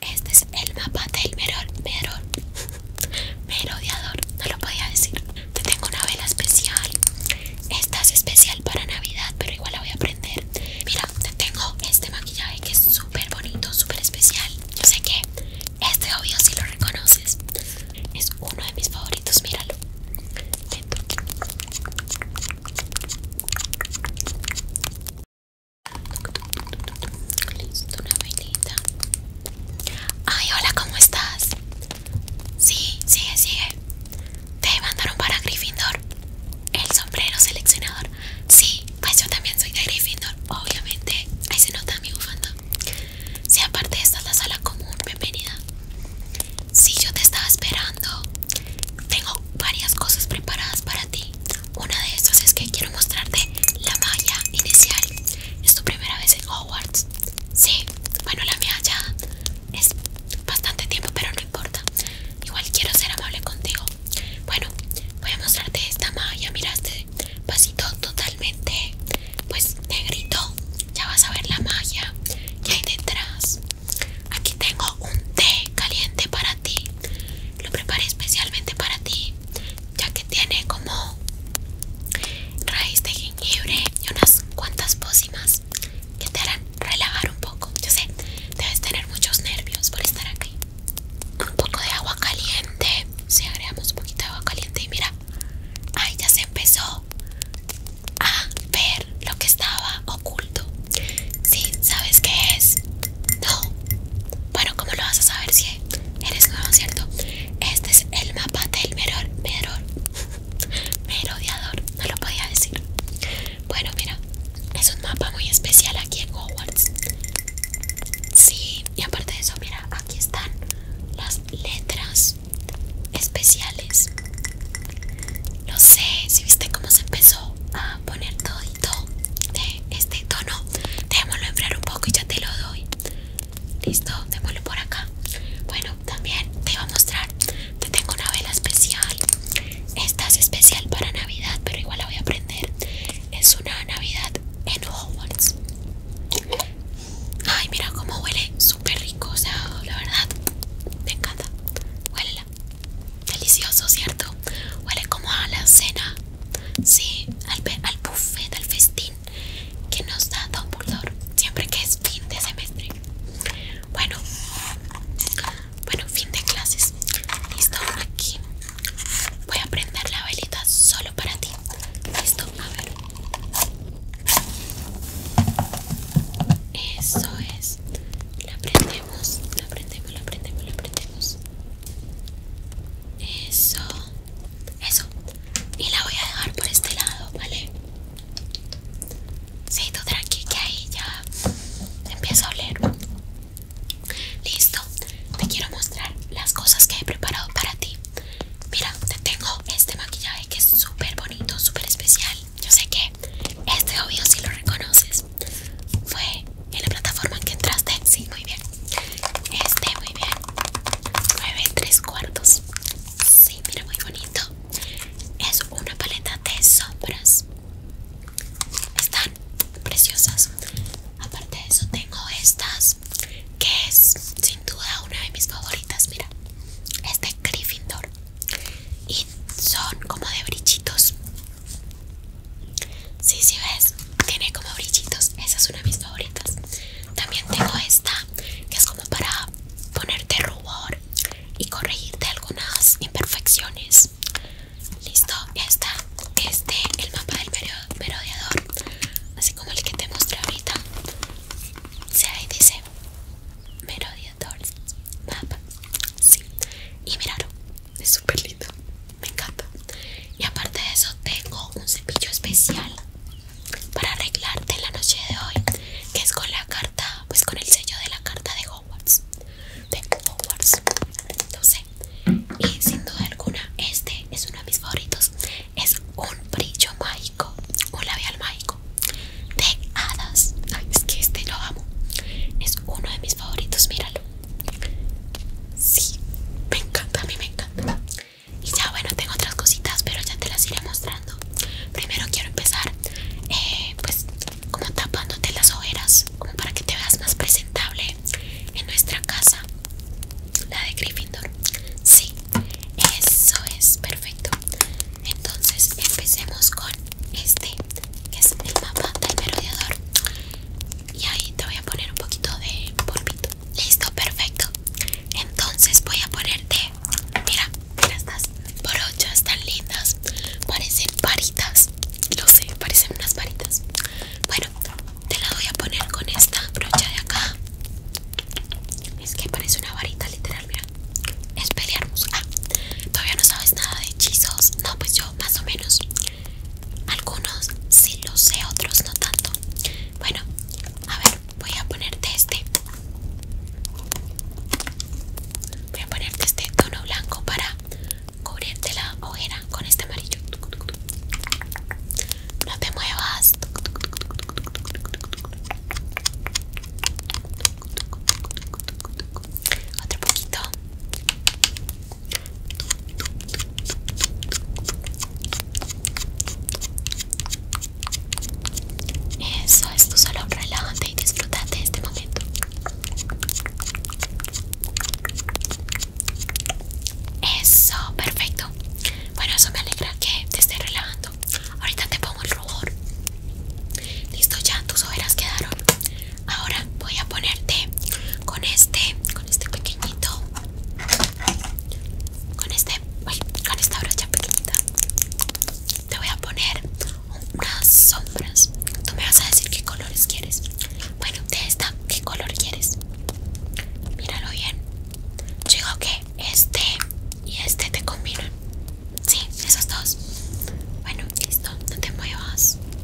Este es el mapa del Meror, Meror, no lo podía decir. Te tengo una vela especial. Esta es especial para Navidad, pero igual la voy a prender. Mira, te tengo este maquillaje que es súper bonito, súper especial. Yo sé que este obvio si lo reconoces. Es uno de mis favoritos, míralo. Listo, una Ay, hola, ¿cómo estás? Sí, sigue, sigue. Te mandaron para Gryffindor. El sombrero seleccionador. Sí, pues yo también soy de Gryffindor, obviamente. Ahí se nota mi bufanda. si aparte esta es la sala común, bienvenida. Sí, yo te estaba esperando. Tengo varias cosas preparadas para ti. Una de estas es que quiero mostrarte la malla inicial. Es tu primera vez en Hogwarts. Sí, bueno, la mía ya es bastante tiempo, pero no importa. Igual quiero ser amable contigo. Bueno, voy a mostrarte esta malla. Miraste, este vasito totalmente, pues negrito. Ya vas a ver la magia que hay detrás. Aquí tengo un té caliente para lo preparé especialmente para ti, ya que tiene como raíz de jengibre y unas cuantas pócimas que te harán relajar un poco. Yo sé, debes tener muchos nervios por estar aquí. Un poco de agua caliente. Si agregamos un poquito de agua caliente y mira, ahí ya se empezó a ver lo que estaba oculto. Sí, ¿sabes qué es? No. Bueno, ¿cómo lo vas a saber si eres nuevo, cierto? Este es el mapa del meror, meror, merodeador. No lo podía decir. Bueno, mira, es un mapa muy especial aquí en Hogwarts. Sí, y aparte de eso, mira, aquí están las letras especiales. No sé si viste cómo se empezó a poner todo de este tono Démoslo enfriar un poco y ya te lo doy Listo, démoslo por acá Bueno, también te iba a mostrar Te tengo una vela especial Esta es especial para Navidad Pero igual la voy a prender Es una Navidad en Hogwarts Ay, mira cómo huele Súper rico, o sea, la verdad Me encanta Huélela Delicioso, ¿cierto? Huele como a la cena, sí, al, al buffet, al festín que nos da Dumbledore siempre que es fin de semestre. Bueno, bueno, fin de clases. Listo, aquí voy a prender la velita solo para ti. Listo, a ver. Eso es. La aprendemos, la prendemos, la prendemos, la prendemos. Eso. Eso. Y la voy a dejar por este lado, ¿vale? Sí, tú tranqui que ahí ya empieza a oler. Listo. Te quiero mostrar las cosas que he preparado para ti. Mira, te tengo este maquillaje que es súper bonito, súper especial. Yo sé que este obvio si lo reconoces. Fue en la plataforma en que entraste. Sí, muy bien. Este, muy bien. 9 3 cuartos. Sí, mira, muy bonito. Es una paleta de sombras. Están preciosas. Aparte de eso, tengo estas que es sin duda una de mis favoritas. Mira, Este de Gryffindor y son como de brichitos Sí, sí ves, tiene como brillitos. Esa es una de mis favoritas. También tengo esta que es como para ponerte rubor y corregirte algunas imperfecciones. Listo, esta está. Este el mapa del merodeador, así como el que te mostré ahorita. Se ahí dice merodeador mapa. Sí. Y miraron es super lindo, me encanta. Y aparte de eso, tengo un cepillo especial para arreglarte la noche de hoy, que es con la carta, pues con el sello de la carta de Hogwarts. De Hogwarts, no Y sin duda alguna, este es uno de mis favoritos. Es un brillo mágico, un labial mágico de hadas. es que este lo amo. Es uno de mis favoritos, míralo. Sí, me encanta, a mí me encanta. Y ya bueno, tengo otras cositas, pero ya te las iré mostrando. Primero quiero empezar, eh, pues, como tapándote las ojeras, como para que te veas más presentable en nuestra casa, la de Gryffindor. Sí, eso es perfecto. Entonces empecemos con este que es el mapa del merodeador. Y ahí te voy a poner un poquito de polvito. Listo, perfecto. Entonces voy a ponerte. Mira, estas brochas tan lindas. Parecen varitas. Lo sé, parecen unas varitas. Bueno, te la voy a poner con esta brocha de acá. Es que parece una varita literal, mira. Es Ah, Todavía no sabes nada de hechizos. No, pues yo más o menos. Algunos sí lo sé, otros no tanto. Bueno, a ver, voy a ponerte este. Voy a ponerte este tono blanco para cubrirte la ojera con este amarillo. No te muevas otro poquito eso es tu solo relájate y disfruta de este momento eso perfecto bueno eso me alegra que te esté relajando ahorita te pongo el rubor listo ya tus ojeras quedaron Ahora voy a ponerte con este, con este pequeñito, con este, bueno, con esta brocha pequeñita. Te voy a poner unas sombras. Tú me vas a decir qué colores quieres. Bueno, de esta, ¿qué color quieres? Míralo bien. Yo digo que este y este te combinan. Sí, esos dos. Bueno, listo, no te muevas.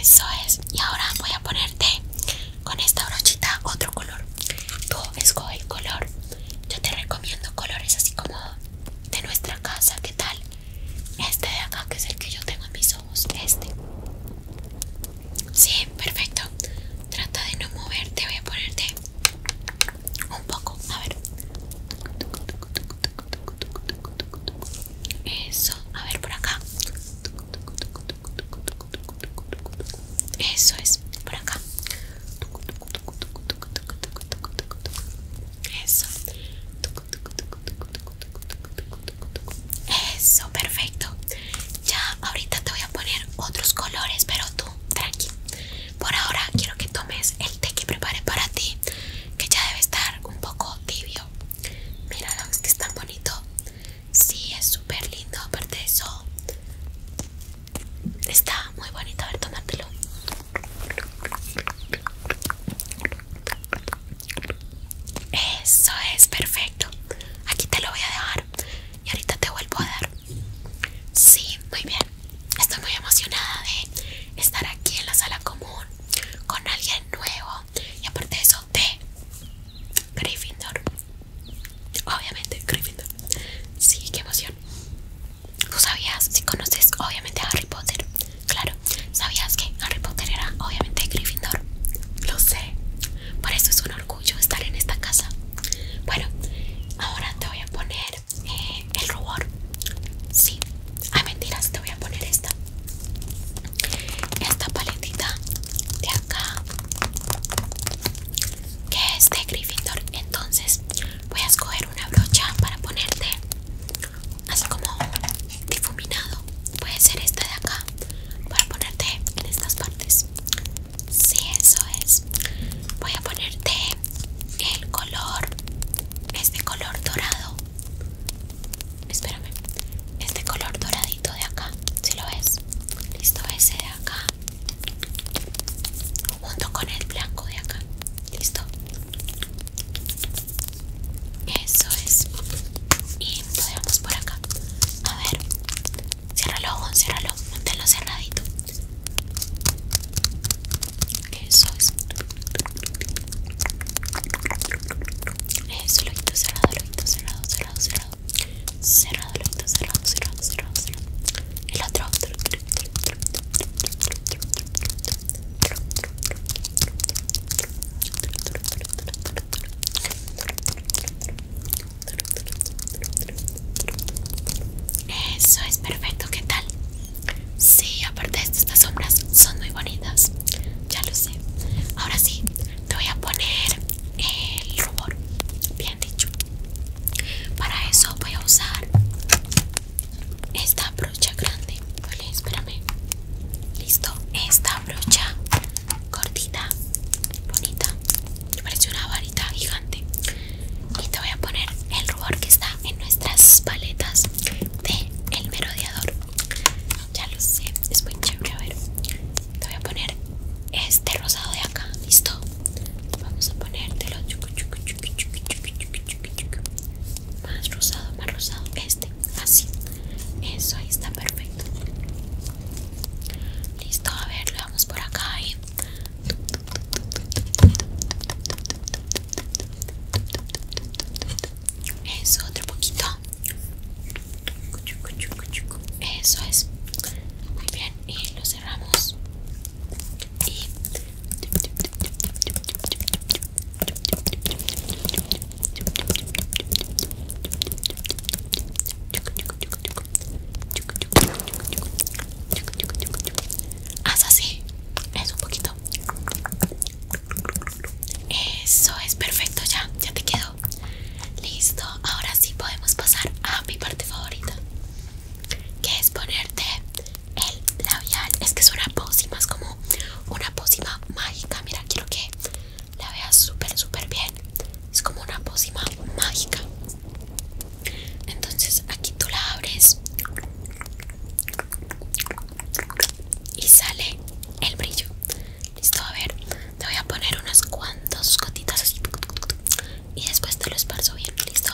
Eso es. Y ahora voy a ponerte con esta brochita otro color. Tú escoge el color. Yo te recomiendo colores así como de nuestra casa. ¿Qué tal? Este de acá que es el que yo tengo en mis ojos, este. Sí, perfecto. Trata de no moverte, voy a ponerte un poco, a ver. Eso, a ver por acá. Eso es, por acá. Eso. Eso, perfecto. Ya ahorita te voy a poner otros colores, pero tú, tranqui. Por ahora quiero que tomes el té que preparé para ti, que ya debe estar un poco tibio. Míralo, es que es tan bonito. Sí, es súper lindo, aparte de eso. Está muy bonito, a ver, tomártelo. Eso es, perfecto. Aquí te lo voy a dejar y ahorita te vuelvo a dar. Sí, muy bien. Estoy muy emocionada de estar aquí en la sala común con alguien nuevo y aparte de eso de Gryffindor. Obviamente Gryffindor. Sí, qué emoción. ¿Tú sabías si conoces obviamente a Harry Potter? Claro, ¿sabías que Harry Potter era obviamente de Gryffindor? Lo sé, por eso es un orgullo estar en esta casa. Bueno, ahora te voy a poner eh, el rubor. Sí, a mentiras, te voy a poner esta. Esta paletita de acá, que es de Gryffindor. Entonces voy a escoger una brocha para ponerte así como difuminado puede ser este de acá para ponerte en estas partes si eso es voy a ponerte el color este color dorado espérame este color doradito de acá si lo ves listo ese de acá junto con el blanco de acá Listo. Eso es. Y podemos por acá. A ver. Ciérralo, ciérralo. Manténlo cerradito. Eso es. Eso, lo quito cerrado, cerrado, cerrado, cerrado. Cerrado, lo quito cerrado, cerrado, cerrado, cerrado. El otro. Eso es perfecto, ¿qué tal? Sí, aparte estas sombras son muy bonitas. Ya lo sé. Ahora sí, te voy a poner el rubor. Bien dicho. Para eso voy a usar esta brocha grande vale espérame listo esta brocha cortita bonita me parece una varita gigante y te voy a poner el rubor que está en nuestras paletas de el merodeador ya lo sé es muy chévere a ver te voy a poner este rosado de acá listo vamos a ponértelo más rosado, más rosado, este, así, eso ahí está perfecto. Listo, a ver, lo vamos por acá y eso, otro poquito. Eso es. Muy bien, y lo cerramos. Y Haz así, es un poquito. Eso es perfecto, ya, ya te quedó. Listo, ahora sí podemos pasar a mi parte favorita que es ponerte el labial. Es que es una pócima, es como una pócima mágica. Mira, quiero que la veas súper, súper bien. Es como una pócima mágica. Entonces aquí tú la abres y sale el brillo. Listo, a ver, te voy a poner unas cuantos gotitas así y después te lo esparzo bien. Listo.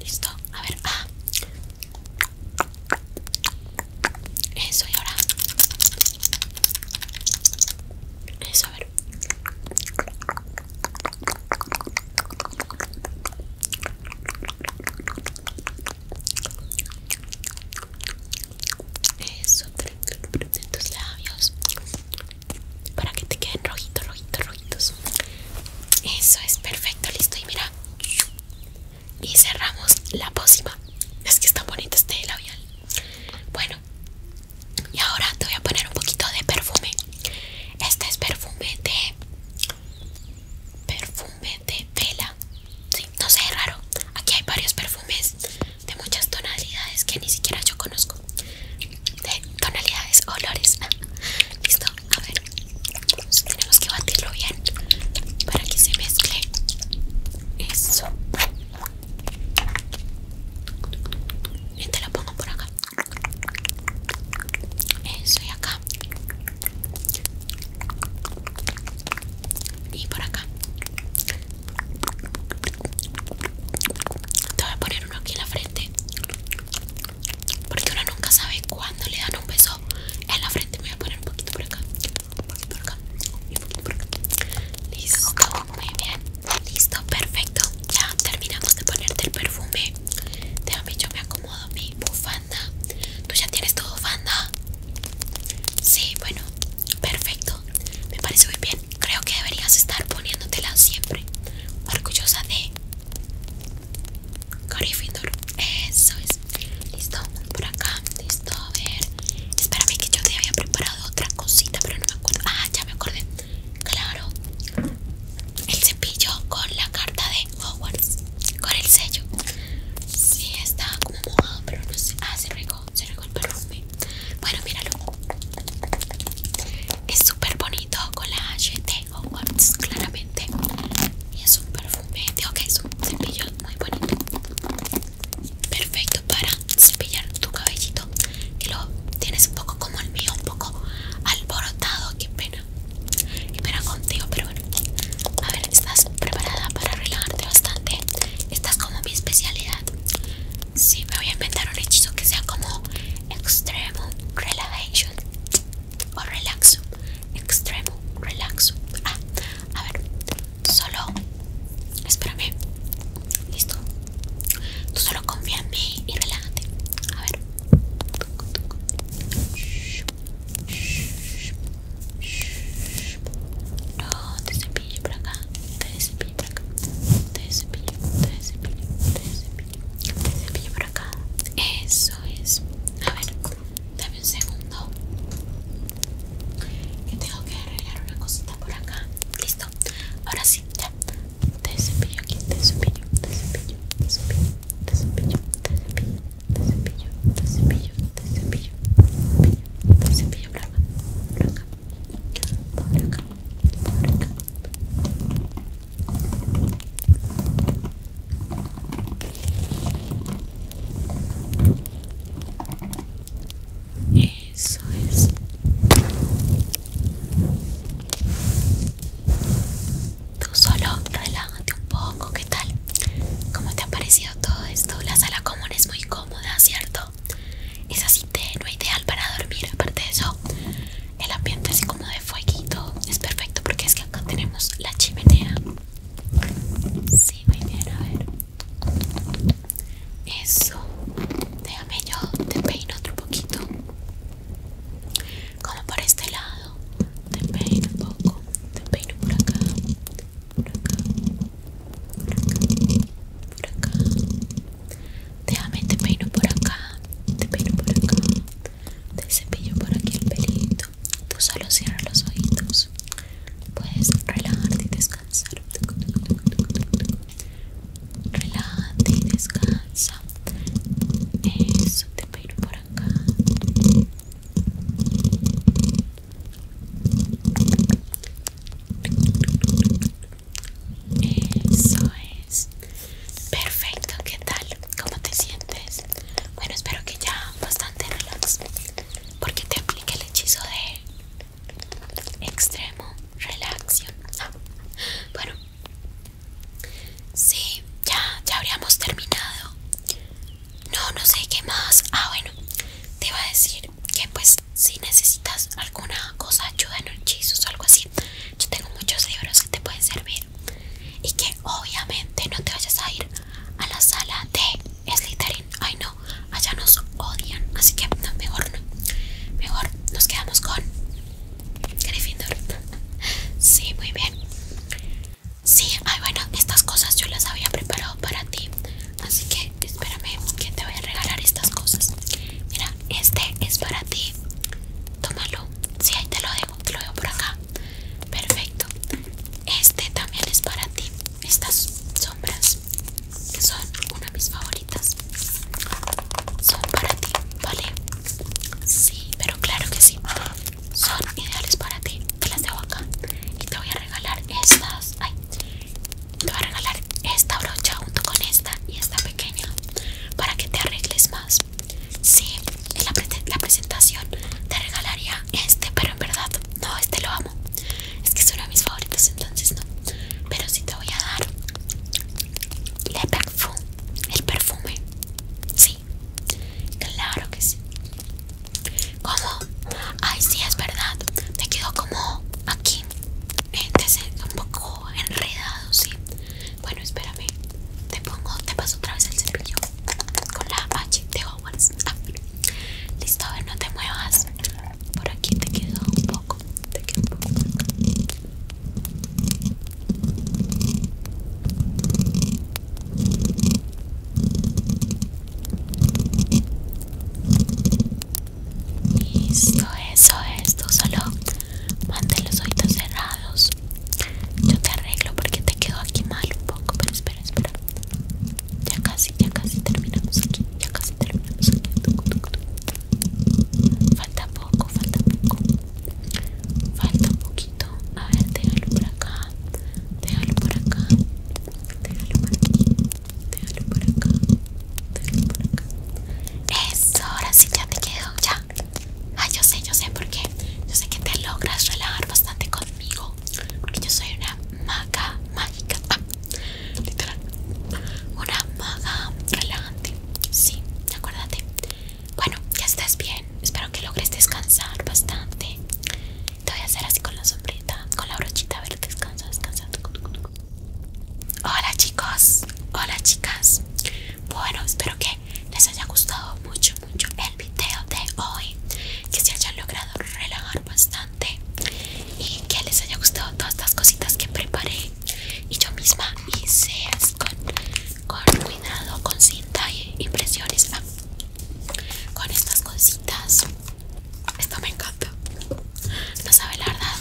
Listo, a ver, ah. Eso y ahora. Eso, a ver. Eso, de tus labios para que te queden rojitos, rojitos, rojitos. Eso es perfecto, listo. Y mira, y cerramos la pócima. Es que está bonito este labial. Bueno, y ahora te voy a poner un poquito de perfume. Este es perfume de. Perfume de vela. Sí, no sé, es raro. Aquí hay varios perfumes de muchas tonalidades que ni siquiera yo conozco. De tonalidades, olores. Ah, listo, a ver. Tenemos que batirlo bien para que se mezcle. Eso. Y lo pongo por acá. Eso y acá. Y por acá. Te voy a poner uno aquí en la frente Porque uno nunca sabe cuándo le dan un beso En la frente voy a poner un poquito por acá por acá un poquito por acá Listo, muy bien Listo, perfecto Ya terminamos de ponerte el perfume Déjame, yo me acomodo mi bufanda ¿Tú ya tienes todo, bufanda? Sí, bueno Perfecto, me parece muy bien. Creo que deberías estar poniéndotela siempre. Orgullosa de Findor, Eso es. Listo, por acá. Listo, a ver. Espérame que yo te había preparado otra cosita, pero no me acuerdo. Ah, ya me acordé. Claro. El cepillo con la carta de Hogwarts. Con el sello. Sí, está como mojado, pero no sé. Ah, se se con el perfume. Bueno, míralo. Es súper bonito con la HT Hogwarts, claramente. Y es un perfume, digo que es un cepillo muy bonito. Perfecto para cepillar tu cabellito, que lo tienes un poco como el mío, un poco alborotado. Qué pena. Qué contigo, pero bueno. A ver, estás preparada para relajarte bastante. Esta es como mi especialidad. Sí, me voy a inventar un hechizo que sea como Extremo Relaxation o Relaxo. Extremo Relaxo. Ah, a ver, solo. Espérame. Listo. Tú solo confía en mí y relájate. A ver. No, te cepilles por acá. Te cepillo, cepillo, cepillo, te acá. Eso es. A ver, dame un segundo. Que tengo que arreglar una cosita por acá. Listo. Ahora sí, ya. Te cepillo aquí, te cepillo, te cepillo, te cepillo, te cepillo, te cepillo, te cepillo, te cepillo, cepillo, cepillo, eso es. Tú solo relájate un poco, ¿qué tal? ¿Cómo te ha parecido todo esto? La sala común es muy cómoda, ¿cierto? Es así tenue, ideal para dormir. Aparte de eso, el ambiente así como de fueguito es perfecto porque es que acá tenemos la chimenea. Sí, muy bien, a ver. Eso. Déjame yo, te peino otro poquito. Como por este lado. Te peino un poco. Te peino Por acá por acá déjame te peino por acá te peino por acá te cepillo por aquí el pelito tú solo cierra los ojitos puedes relajarte y descansar relájate y descansa eso te peino por acá eso es. Perfecto, ¿qué tal? ¿Cómo te sientes? Bueno, espero que ya bastante relax. Porque te apliqué el hechizo de extremo Relaxion ah, bueno. Sí, ya, ya habríamos terminado. No, no sé qué más. Ah, bueno, te iba a decir que pues si necesitas alguna cosa ayuda en hechizos o algo así yo tengo muchos libros que te pueden servir y que obviamente no te vayas a ir a la sala de Slytherin ay no allá nos odian así que mejor no mejor nos quedamos con Gryffindor sí muy bien sí ay bueno estas cosas yo las había preparado para ti Así que espérame que te voy a regalar estas cosas. Mira, este es para ti. Tómalo. Sí, ahí te lo dejo, te lo dejo por acá. Perfecto. Este también es para ti. Estas sombras, que son una de mis favoritas, son para ti, ¿vale? Sí, pero claro que sí. Son ideales para ti. Te las dejo acá. Y te voy a regalar estas. Ay, te voy a regalar esta brocha junto con esta y esta pequeña para que te arregles más. Sí, en la, presentación te regalaría este, pero en verdad no, este lo amo. Es que es uno de mis favoritos, entonces no. Pero sí te voy a dar perfume, el perfume. Sí, claro que sí. ¿Cómo? Ay, sí, es verdad. Te quedó como aquí. Eh, un poco enredado, sí. Bueno, espérame. Te pongo, te paso otra vez el cepillo con la H de Hogwarts. Ah, listo, a ver, no te muevas. Por aquí te quedó un poco. Te quedo un poco. Listo, eso es. solo mantén los oídos cerrados. Yo te arreglo porque te quedó aquí mal un poco. Pero espera, espera. Ya casi, ya casi terminamos aquí. Ya casi terminamos aquí. Falta poco, falta poco. Falta un poquito. A ver, déjalo por acá. Déjalo por acá. por aquí déjalo por acá, déjalo por acá. Eso, ahora sí ya te quedo ya. Ah, yo sé, yo sé por qué. Yo sé que te logras relajar bastante conmigo. Porque yo soy una maga mágica. Ah, literal. Una maga relajante. Sí, acuérdate. Bueno, ya estás bien. Espero que logres descansar bastante. Te voy a hacer así con la sombrita, con la brochita. A ver, descansa, descansa. Hola chicos, hola chicas. Bueno, espero que les haya gustado mucho, mucho el video de hoy. Que se hayan logrado relajar bastante. Y que les haya gustado todas estas cositas que preparé. Y yo misma hice con, con cuidado, con cinta y impresiones. Ah, con estas cositas esto me encanta. No sabe la verdad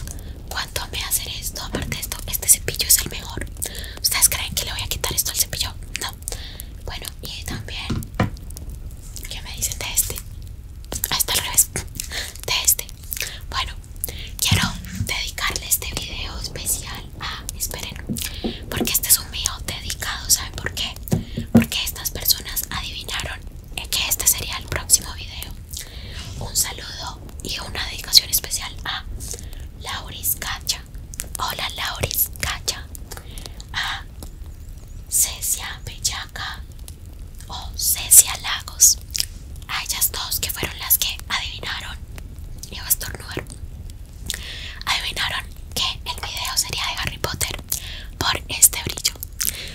cuánto me hacer esto. Aparte de esto, este cepillo es el mejor. ¿Ustedes creen que le voy a quitar esto al cepillo? No. Bueno, y también, ¿qué me dicen de este? Ah, está al revés. De este. Bueno, quiero dedicarle este video especial a. Esperen, porque este es un mío dedicado. ¿Saben por qué? Porque estas personas adivinaron que este sería el próximo video. Un saludo y una dedicación especial a Lauris Cacha. Hola Lauris Cacha. A Cecia Bellaca o Cecia Lagos. A ellas dos que fueron las que adivinaron. y a Adivinaron que el video sería de Harry Potter por este brillo.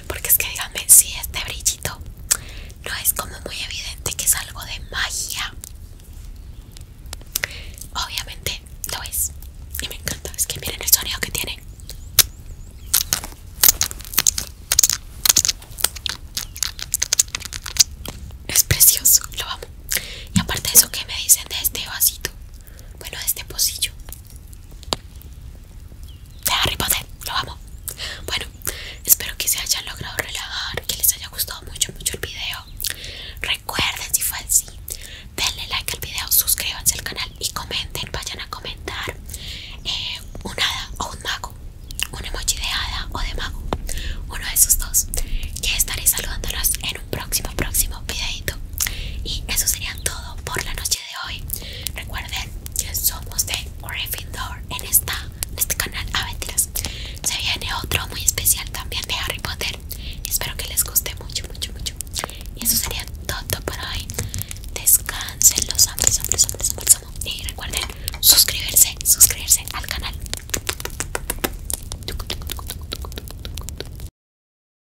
Porque es que díganme, si este brillito no es como muy evidente que es algo de magia. Obviamente lo es. Y me encanta. Es que miren el sonido que tiene. Es precioso, lo amo. Y aparte de eso, ¿qué me dicen de este vasito? Bueno, de este pocillo de Harry Potter, lo amo. Bueno, espero que se hayan logrado relajar, que les haya gustado mucho, mucho el video. Recuerden si fue así, denle like al video, suscríbanse al canal y comenten, vayan a comentar una eh, un hada o un mago, un emoji de hada o de mago, uno de esos dos, que estaré saludándolos en un próximo, próximo videito. Y eso sería todo por la noche de hoy. Recuerden, que somos de Gryffindor en, esta, este canal Aventuras. Se viene otro muy especial también de Harry Potter. Espero que les guste mucho, mucho, mucho. Y eso sería todo por hoy. Descansen, los hombres, hombres, hombres hombres. Y recuerden suscribirse, suscribirse al canal.